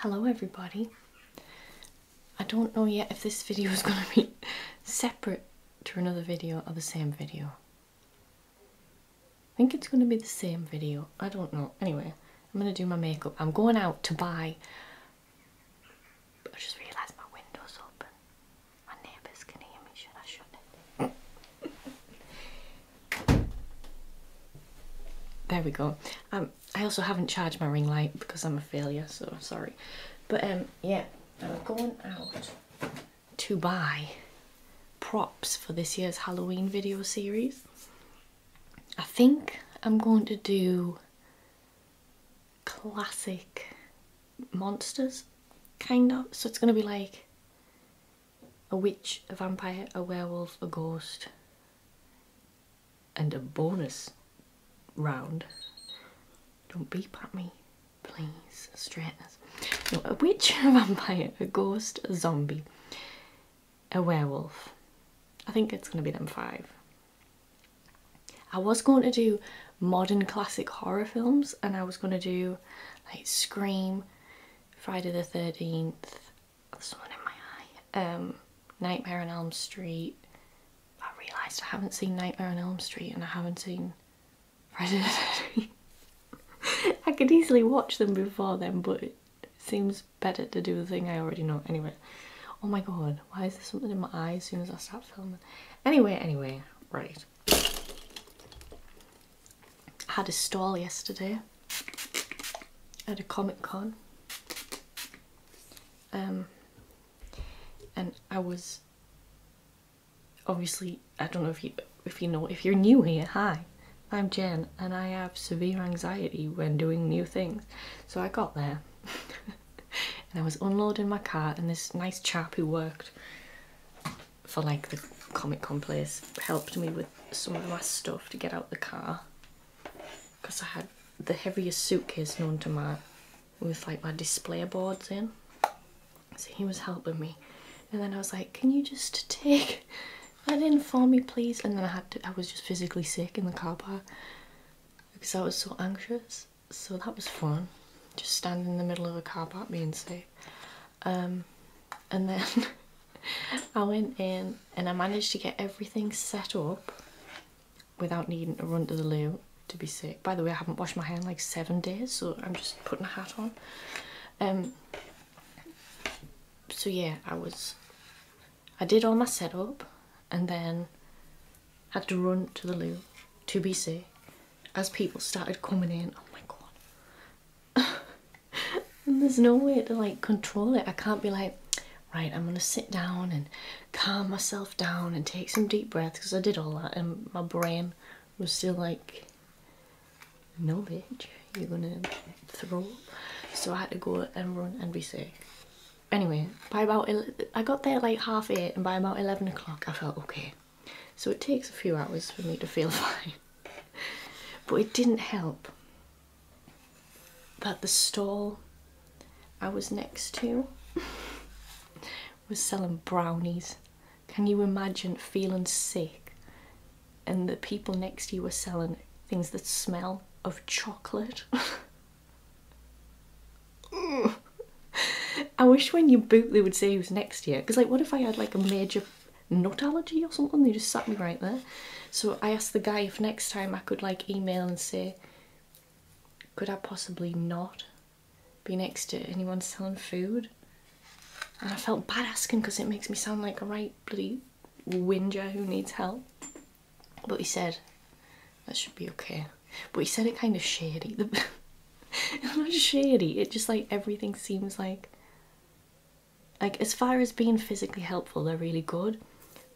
Hello everybody. I don't know yet if this video is going to be separate to another video or the same video. I think it's going to be the same video. I don't know. Anyway, I'm going to do my makeup. I'm going out to buy... I just realised my window's open. My neighbours can hear me, should I shut it? there we go. Um, I also haven't charged my ring light because I'm a failure, so sorry. But um, yeah, I'm going out to buy props for this year's Halloween video series. I think I'm going to do classic monsters, kind of. So it's going to be like a witch, a vampire, a werewolf, a ghost, and a bonus round. Don't beep at me, please. Straightness. a witch, a vampire, a ghost, a zombie, a werewolf. I think it's going to be them five. I was going to do modern classic horror films and I was going to do like Scream, Friday the 13th, there's one in my eye, um, Nightmare on Elm Street. I realised I haven't seen Nightmare on Elm Street and I haven't seen Friday the 13th. I could easily watch them before then but seems better to do the thing I already know. Anyway, oh my god, why is there something in my eye as soon as I start filming? Anyway, anyway, right. I had a stall yesterday at a Comic Con. Um, and I was obviously I don't know if you if you know if you're new here. Hi, I'm Jen, and I have severe anxiety when doing new things. So I got there, and I was unloading my car, and this nice chap who worked for like the Comic Con place helped me with some of my stuff to get out the car because I had the heaviest suitcase known to man with like my display boards in. So he was helping me. And then I was like, can you just take that in for me please? And then I had to, I was just physically sick in the car park because I was so anxious so that was fun. Just standing in the middle of a car park being safe. Um, and then I went in and I managed to get everything set up without needing to run to the loo to be sick. By the way, I haven't washed my hand like seven days, so I'm just putting a hat on. Um, so yeah, I was, I did all my setup and then had to run to the loo to be sick as people started coming in, oh my god. there's no way to like control it. I can't be like, right, I'm gonna sit down and calm myself down and take some deep breaths because I did all that and my brain was still like, no bitch, you're gonna throw So I had to go and run and be sick. Anyway, by about, I got there like half eight and by about 11 o'clock I felt okay. So it takes a few hours for me to feel fine. but it didn't help that the stall I was next to was selling brownies. Can you imagine feeling sick and the people next to you were selling things that smell of chocolate? I wish when you boot they would say who's next year because like what if I had like a major nut allergy or something they just sat me right there so I asked the guy if next time I could like email and say could I possibly not be next to anyone selling food and I felt bad asking because it makes me sound like a right bloody whinger who needs help but he said that should be okay but he said it kind of shady the it's not shady. It just like everything seems like like as far as being physically helpful, they're really good.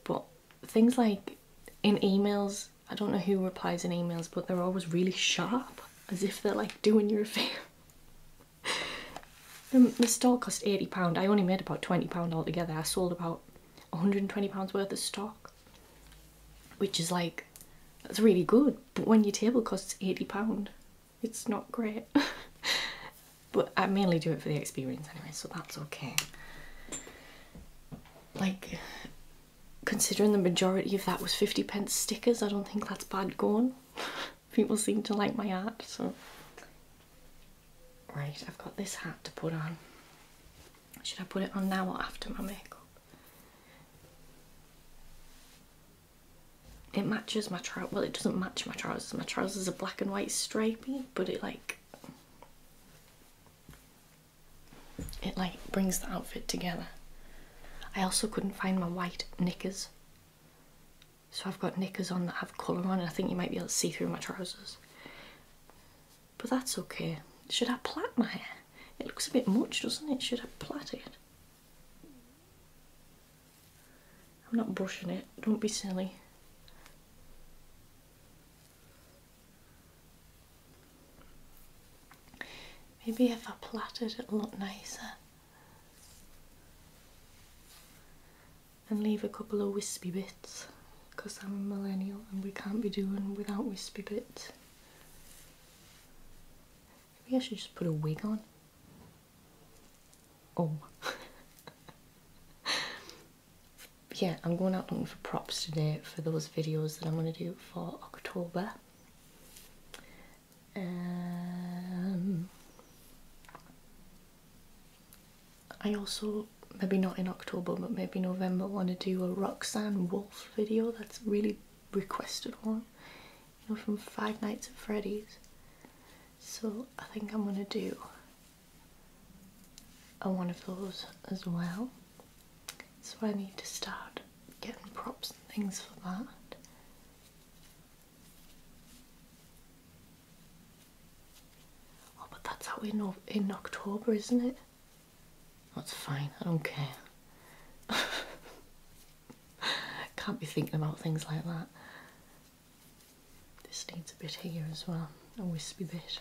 But things like in emails, I don't know who replies in emails, but they're always really sharp, as if they're like doing your a um, the store cost £80. I only made about £20 altogether. I sold about £120 worth of stock which is like that's really good but when your table costs 80 pound it's not great but i mainly do it for the experience anyway so that's okay like considering the majority of that was 50 pence stickers i don't think that's bad going people seem to like my art so right i've got this hat to put on should i put it on now or after my makeup it matches my trousers. Well, it doesn't match my trousers. My trousers are black and white stripy, but it like it like brings the outfit together. I also couldn't find my white knickers. So I've got knickers on that have colour on and I think you might be able to see through my trousers. But that's okay. Should I plait my hair? It looks a bit much, doesn't it? Should have plait I'm not brushing it, don't be silly. Maybe if I plaited it'll look nicer. And leave a couple of wispy bits because I'm a millennial and we can't be doing without wispy bits. Maybe I should just put a wig on. Oh. yeah, I'm going out looking for props today for those videos that I'm going to do for October. Um, I also, maybe not in October, but maybe November, want to do a Roxanne Wolf video. That's really requested one, you know, from Five Nights at Freddy's. So I think I'm gonna do a one of those as well. So I need to start getting props and things for that. Oh, but that's out in, in October, isn't it? That's fine, I don't care. Can't be thinking about things like that. This needs a bit here as well, a wispy bit.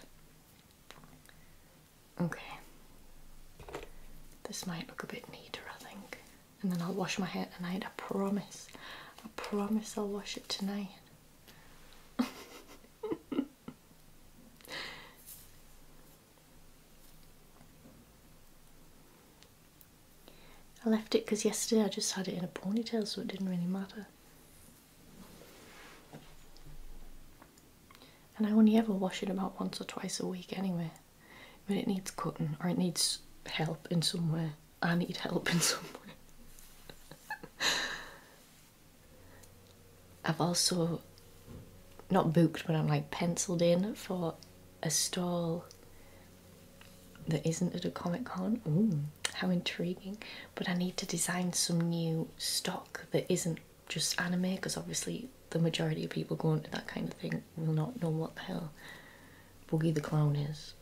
Okay. This might look a bit neater, I think. And then I'll wash my hair tonight, I promise. I promise I'll wash it tonight. I left it because yesterday I just had it in a ponytail so it didn't really matter. And I only ever wash it about once or twice a week anyway. When it needs cutting or it needs help in some way. I need help in some way. I've also not booked, but I'm like penciled in for a stall that isn't at a Comic Con. how intriguing! But I need to design some new stock that isn't just anime because obviously the majority of people going to that kind of thing will not know what the hell Boogie the Clown is.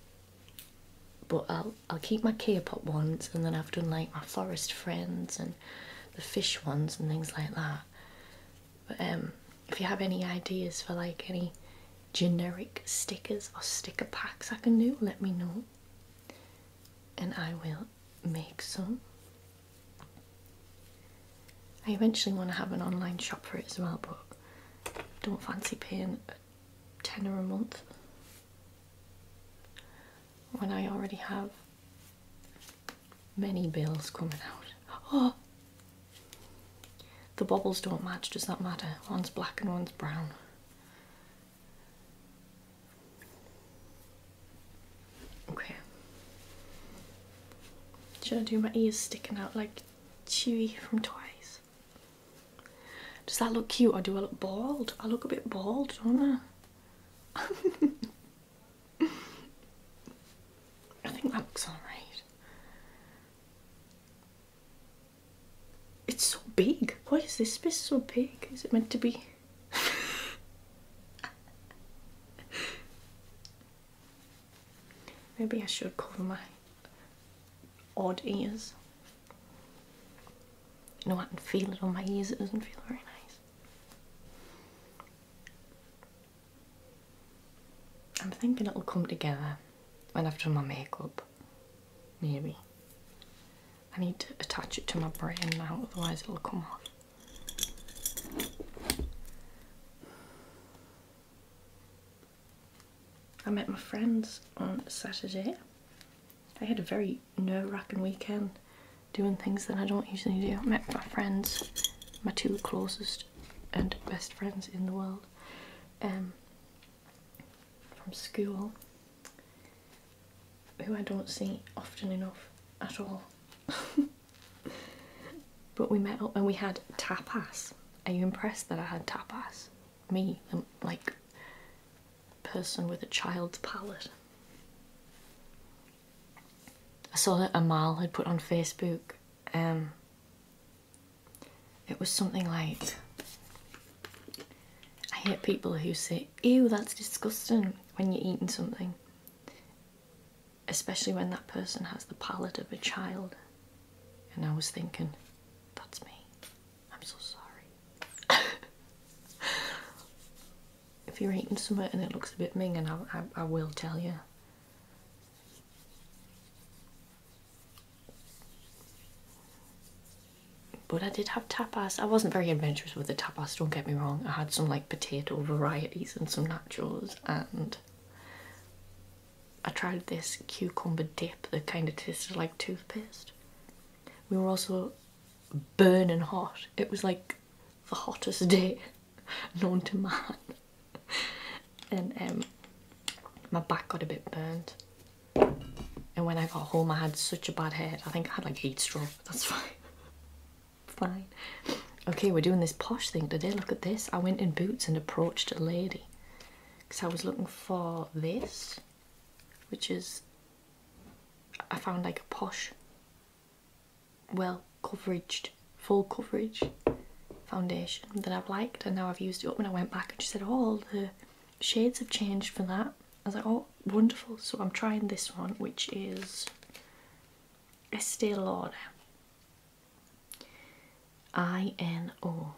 But I'll I'll keep my K-pop ones, and then I've done like my forest friends and the fish ones and things like that. But um, if you have any ideas for like any generic stickers or sticker packs I can do, let me know and I will make some. I eventually want to have an online shop for it as well, but don't fancy paying a tenner a month when I already have Many bills coming out. Oh! The bubbles don't match, does that matter? One's black and one's brown. Okay. Should I do my ears sticking out like Chewy from Twice? Does that look cute or do I look bald? I look a bit bald, don't I? I think that looks alright. It's so big. Why is this space so big? Is it meant to be? Maybe I should cover my odd ears. No, I can feel it on my ears, it doesn't feel very nice. I'm thinking it'll come together when I've done my makeup. Maybe. I need to attach it to my brain now, otherwise, it'll come off. I met my friends on Saturday. I had a very nerve wracking weekend doing things that I don't usually do. met my friends, my two closest and best friends in the world, um, from school, who I don't see often enough at all. but we met up and we had tapas. Are you impressed that I had tapas? Me, um, like person with a child's palate. I saw that Amal had put on Facebook. Um, it was something like, I hate people who say, ew, that's disgusting when you're eating something. Especially when that person has the palate of a child. And I was thinking, that's me. I'm so sorry. if you're eating something and it looks a bit minging, I, I, I will tell you. But I did have tapas. I wasn't very adventurous with the tapas, don't get me wrong. I had some like potato varieties and some nachos and I tried this cucumber dip that kind of tasted like toothpaste. We were also burning hot. It was like the hottest day known to man. And um, my back got a bit burnt. And when I got home, I had such a bad head. I think I had like heat stroke. That's fine. fine. Okay, we're doing this posh thing today. Look at this. I went in boots and approached a lady because I was looking for this, which is I found like a posh well covered, full coverage foundation that I've liked and now I've used it up and I went back and she said, oh, the shades have changed for that. I was like, oh, wonderful. So I'm trying this one, which is Estee Lauder. I-N-O.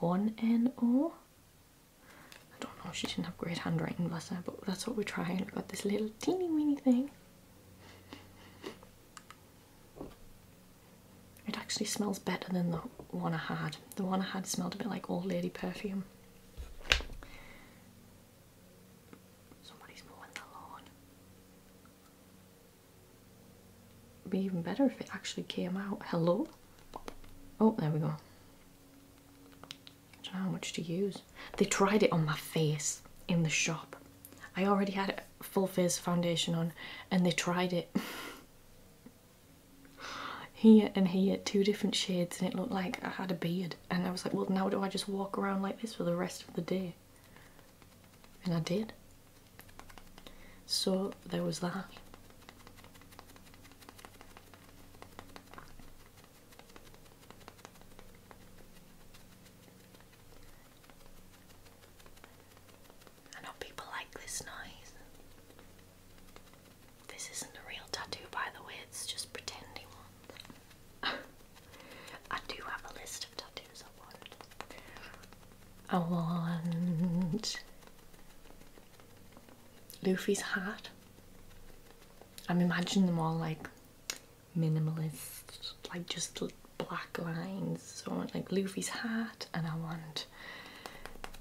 1-N-O? I don't know, she didn't have great handwriting, bless her, but that's what we're trying. We got this little teeny weeny thing. It actually smells better than the one I had. The one I had smelled a bit like old lady perfume. Somebody's mowing the lawn. be even better if it actually came out. Hello? Oh, there we go don't know how much to use. They tried it on my face in the shop. I already had a full face foundation on and they tried it. here and here, two different shades, and it looked like I had a beard. And I was like, well, now do I just walk around like this for the rest of the day? And I did. So there was that. I know people like this noise. This isn't a real tattoo, by the way, it's just pretending one. I do have a list of tattoos I want. I want Luffy's hat. I'm imagining them all like minimalist, like just black lines. So I want like Luffy's hat, and I want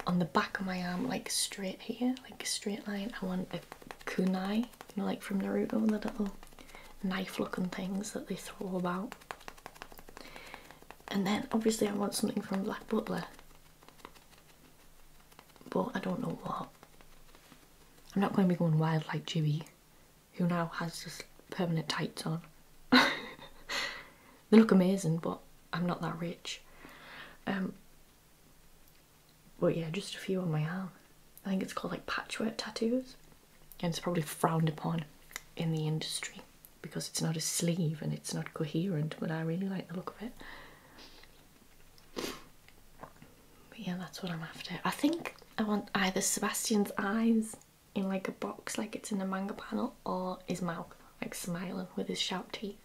on the back of my arm, like straight here, like a straight line. I want a kunai, you know, like from Naruto, the little knife-looking things that they throw about. And then obviously I want something from Black Butler. But I don't know what. I'm not going to be going wild like Jimmy, who now has just permanent tights on. they look amazing, but I'm not that rich. Um, but yeah, just a few on my arm. I think it's called like patchwork tattoos. And it's probably frowned upon in the industry because it's not a sleeve and it's not coherent, but I really like the look of it yeah, that's what I'm after. I think I want either Sebastian's eyes in like a box, like it's in a manga panel, or his mouth, like smiling with his sharp teeth.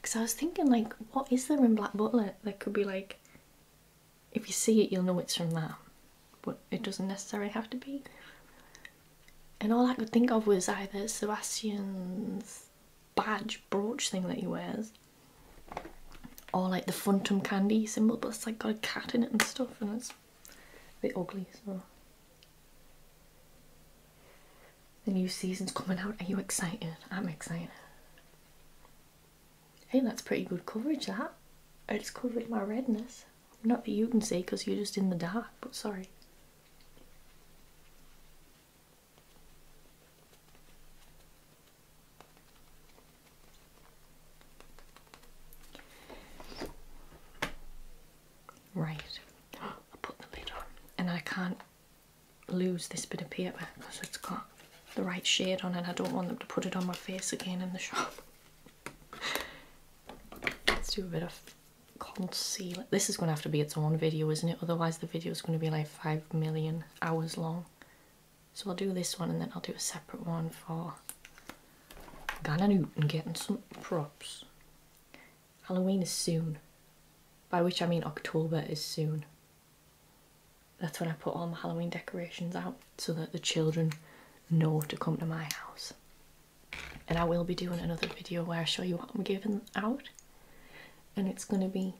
Because I was thinking, like, what is there in Black Butler that could be like, if you see it, you'll know it's from that, but it doesn't necessarily have to be. And all I could think of was either Sebastian's badge brooch thing that he wears, or like the Phantom Candy symbol, but it's like got a cat in it and stuff, and it's a bit ugly. So the new season's coming out. Are you excited? I'm excited. Hey, that's pretty good coverage. That it's covered my redness. Not that you can see because you're just in the dark, but sorry. Right, I put the lid on and I can't lose this bit of paper because it's got the right shade on it. I don't want them to put it on my face again in the shop. Let's do a bit of concealer. This is going to have to be its own video, isn't it? Otherwise the video is going to be like 5 million hours long. So I'll do this one and then I'll do a separate one for Ghana Newton getting some props. Halloween is soon, by which I mean October is soon. That's when I put all my Halloween decorations out so that the children know to come to my house. And I will be doing another video where I show you what I'm giving out. And it's going to be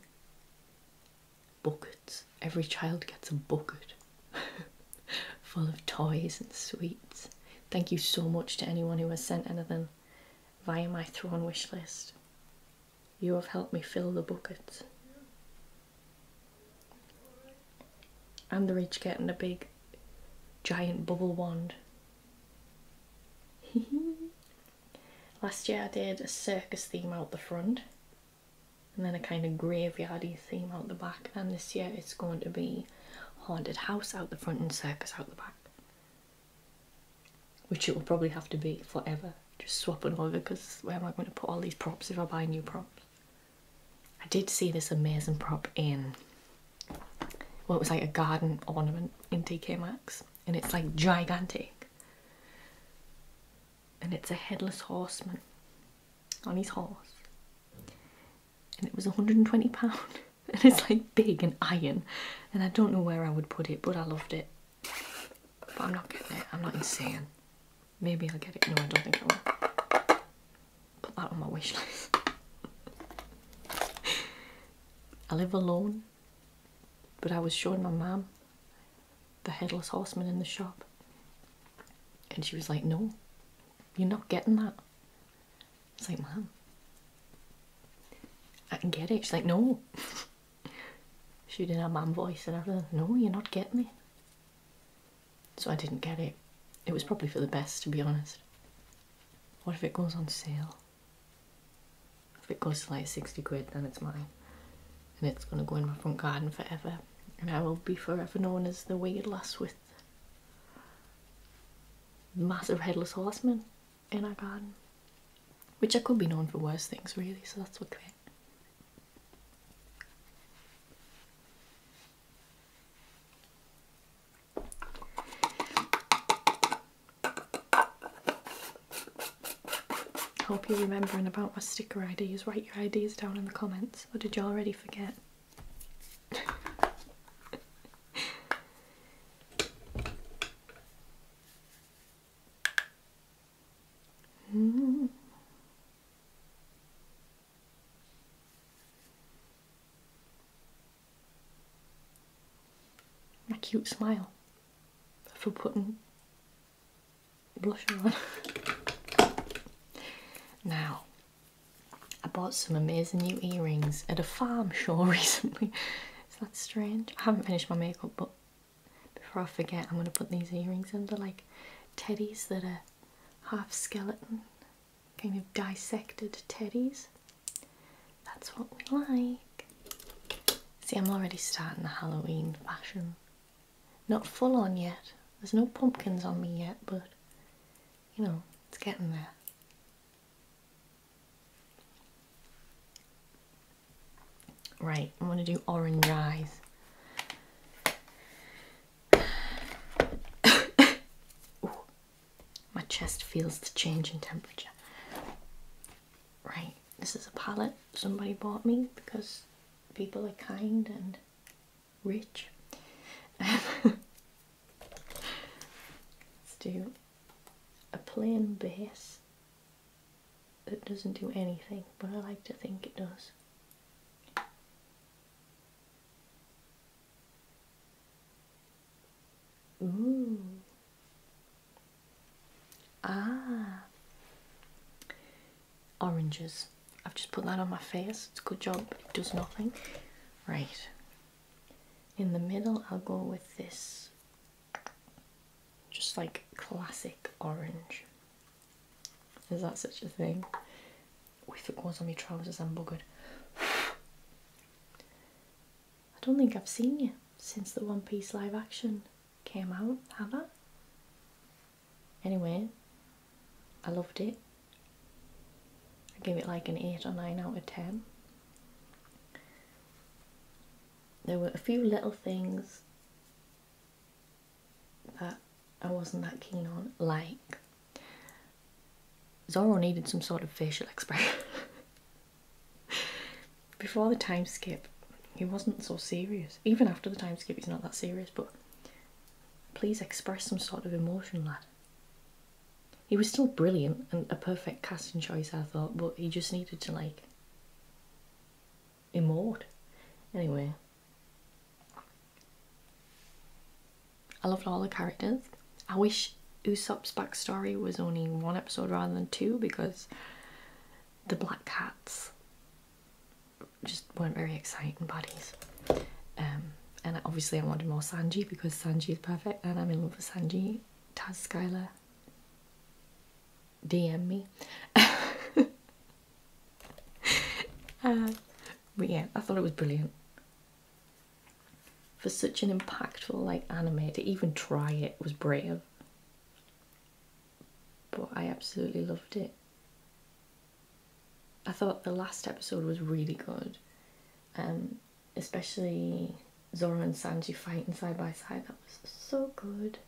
buckets. Every child gets a bucket full of toys and sweets. Thank you so much to anyone who has sent anything via my Thrawn wish list. You have helped me fill the buckets. And the rich getting a big giant bubble wand. Last year I did a circus theme out the front and then a kind of graveyardy theme out the back and this year it's going to be haunted house out the front and circus out the back. Which it will probably have to be forever, just swapping over because where am I going to put all these props if I buy new props? I did see this amazing prop in what well, was like a garden ornament in TK Maxx and it's like gigantic. And it's a headless horseman on his horse. And it was £120 and it's like big and iron and I don't know where I would put it but I loved it. But I'm not getting it, I'm not insane. Maybe I'll get it, no I don't think I will. Put that on my wish list. I live alone but I was showing my mum the headless horseman in the shop, and she was like, No, you're not getting that. It's like, Mum, I can get it. She's like, No. she did her mum voice and everything. No, you're not getting me." So I didn't get it. It was probably for the best, to be honest. What if it goes on sale? If it goes to like 60 quid, then it's mine. And it's going to go in my front garden forever. And I will be forever known as the weird lass with massive headless horseman in our garden. Which I could be known for worse things, really, so that's okay. Hope you're remembering about my sticker ideas. Write your ideas down in the comments, or did you already forget? My cute smile for putting blush on. now, I bought some amazing new earrings at a farm show recently. Is that strange? I haven't finished my makeup, but before I forget, I'm going to put these earrings in. like teddies that are half skeleton, kind of dissected teddies. That's what we like. See, I'm already starting the Halloween fashion. Not full on yet. There's no pumpkins on me yet, but you know, it's getting there. Right, i want to do orange eyes. My chest feels the change in temperature. Right, this is a palette somebody bought me because people are kind and rich. Let's do a plain base that doesn't do anything, but I like to think it does. Ooh. Ah. Oranges. I've just put that on my face. It's a good job. It does nothing. Right. In the middle, I'll go with this. Just like classic orange. Is that such a thing? If it goes on my trousers, I'm buggered. I don't think I've seen you since the One Piece live action came out, have I? Anyway, I loved it. I gave it like an 8 or 9 out of 10. There were a few little things that I wasn't that keen on, like Zoro needed some sort of facial expression. Before the time skip, he wasn't so serious. Even after the time skip, he's not that serious, but please express some sort of emotion, lad. He was still brilliant and a perfect casting choice, I thought, but he just needed to, like, emote. Anyway. I loved all the characters. I wish Usopp's backstory was only one episode rather than two because the Black Cats just weren't very exciting buddies. Um, and obviously I wanted more Sanji because Sanji is perfect and I'm in love with Sanji. Taz Skylar, DM me. Uh, but yeah, I thought it was brilliant for such an impactful like anime to even try it was brave but i absolutely loved it i thought the last episode was really good um, especially zoro and sanji fighting side by side that was so good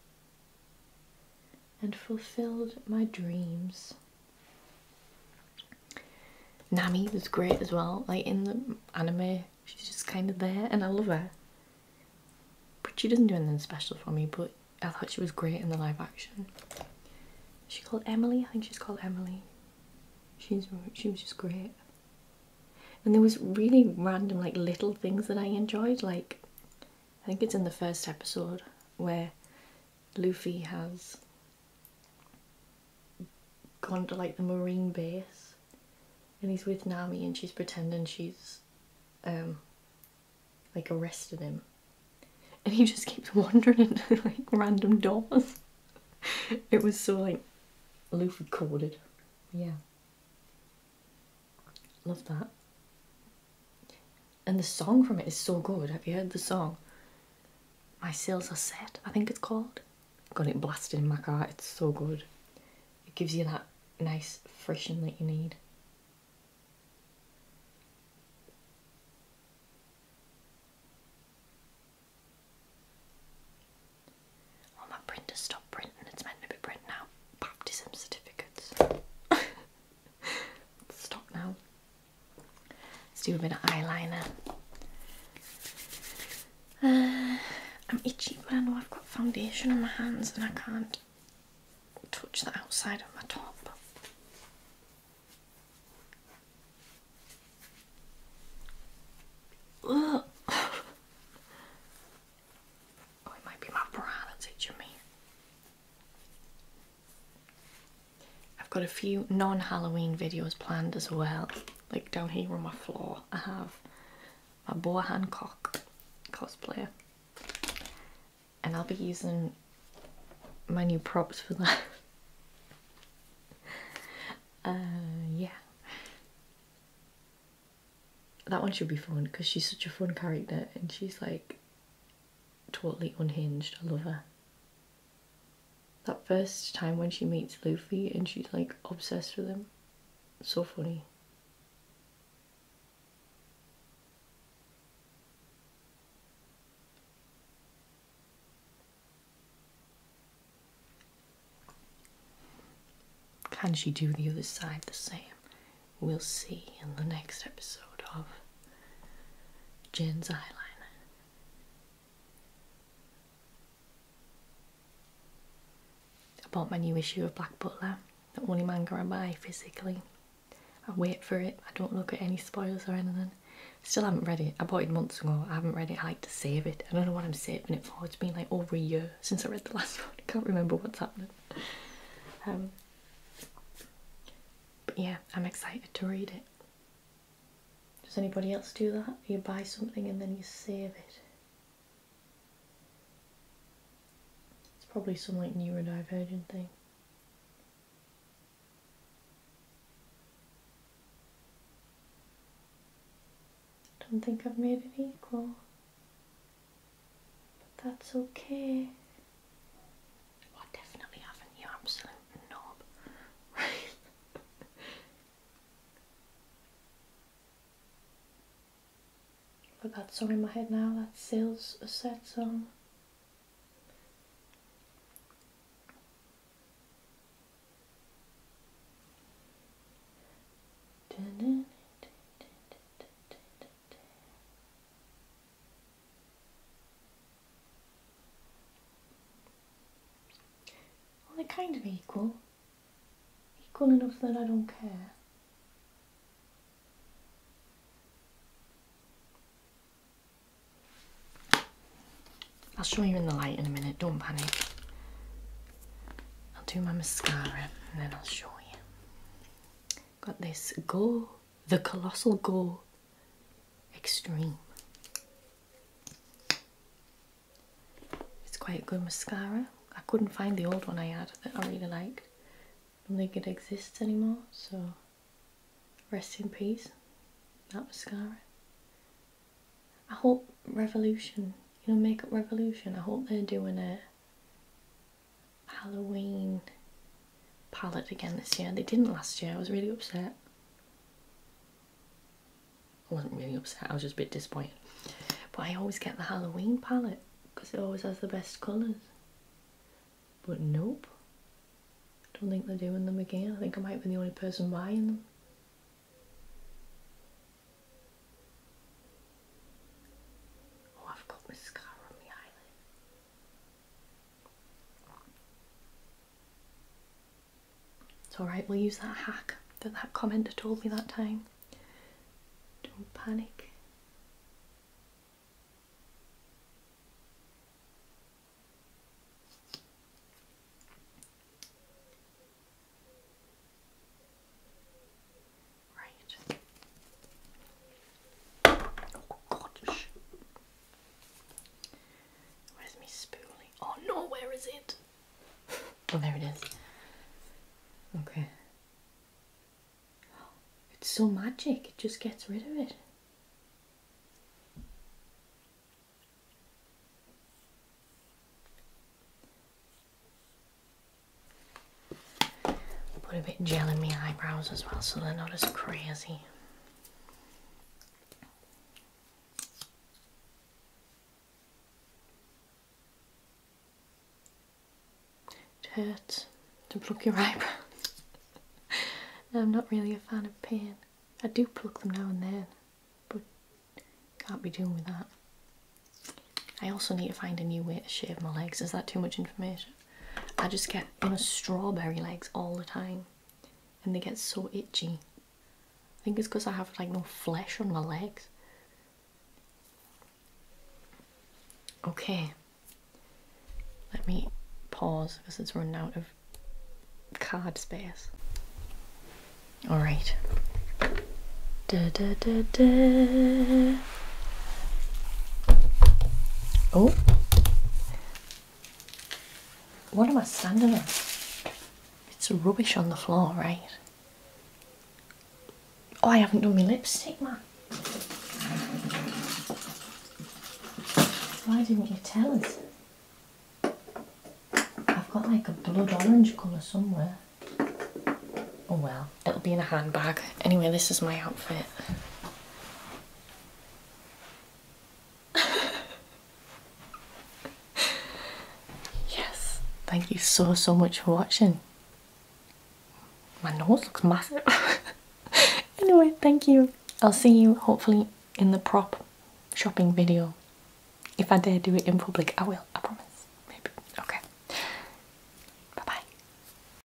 and fulfilled my dreams nami was great as well like in the anime She's just kind of there, and I love her. But she doesn't do anything special for me. But I thought she was great in the live action. She called Emily. I think she's called Emily. She's she was just great. And there was really random, like little things that I enjoyed. Like I think it's in the first episode where Luffy has gone to like the marine base and he's with Nami and she's pretending she's um, like arrested him and he just keeps wandering into like random doors it was so like Luffy coded yeah love that and the song from it is so good have you heard the song my sails are set I think it's called got it blasted in my car. It's so good. It gives you that nice freshen that you need. Oh, my printer stopped printing. It's meant to be printing out baptism certificates. Stop now. Let's do a bit of eyeliner. Uh, I'm itchy, but I know I've got foundation on my hands and I can't touch the outside of my top. Oh, it might be my bra that's itching me. I've got a few non Halloween videos planned as well like down here on my floor, I have my Boa Hancock cosplayer, and I'll be using my new props for that. uh, yeah, that one should be fun because she's such a fun character and she's like totally unhinged. I love her. That first time when she meets Luffy and she's like obsessed with him. So funny. Can she do the other side the same? We'll see in the next episode of Jen's Eyeliner. I bought my new issue of Black Butler, the only manga I buy physically. I wait for it, I don't look at any spoilers or anything. Still haven't read it. I bought it months ago. I haven't read it. I like to save it. I don't know what I'm saving it for. It's been like over a year since I read the last one. I can't remember what's happened. Um, but yeah, I'm excited to read it. Does anybody else do that? You buy something and then you save it. It's probably some like neurodivergent thing. Don't think I've made it equal. But that's okay. Oh, I definitely haven't, you absolute knob. I've got that song in my head now, that Sales a sad song. Well, they're kind of equal equal enough that I don't care. I'll show you in the light in a minute, don't panic. I'll do my mascara and then I'll show you. Got this gore, the Colossal gore, Extreme. It's quite good mascara. I couldn't find the old one I had that I really liked. I don't think it exists anymore, so rest in peace, that mascara. I hope Revolution, you know, Makeup Revolution, I hope they're doing a Halloween palette again this year. They didn't last year, I was really upset. I wasn't really upset, I was just a bit disappointed. But I always get the Halloween palette because it always has the best colours. But nope. don't think they're doing them again. I think I might be the only person buying them. Oh, I've got mascara on my eyelid. It's alright, we'll use that hack that that commenter told me that time. Don't panic. Right. Oh gosh. Where's my spoolie? Oh no, where is it? oh, there it is. Okay. It's so magic, it just gets rid of it. Put a bit gel in my eyebrows as well so they're not as crazy. It hurts to pluck your eyebrows. I'm not really a fan of pain. I do pluck them now and then, but can't be doing with that. I also need to find a new way to shave my legs. Is that too much information? I just get, you know, strawberry legs all the time and they get so itchy. I think it's because I have like no flesh on my legs. Okay, let me pause because it's run out of card space. All right. Oh, what am I standing on? It's rubbish on the floor, right? Oh, I haven't done my lipstick, man. Why didn't you tell us? I've got like a blood orange colour somewhere. Oh well, it'll be in a handbag. Anyway, this is my outfit. yes, thank you so, so much for watching. My nose looks massive. anyway, thank you. I'll see you hopefully in the prop shopping video. If I dare do it in public, I will, I promise. Maybe. Okay. Bye bye.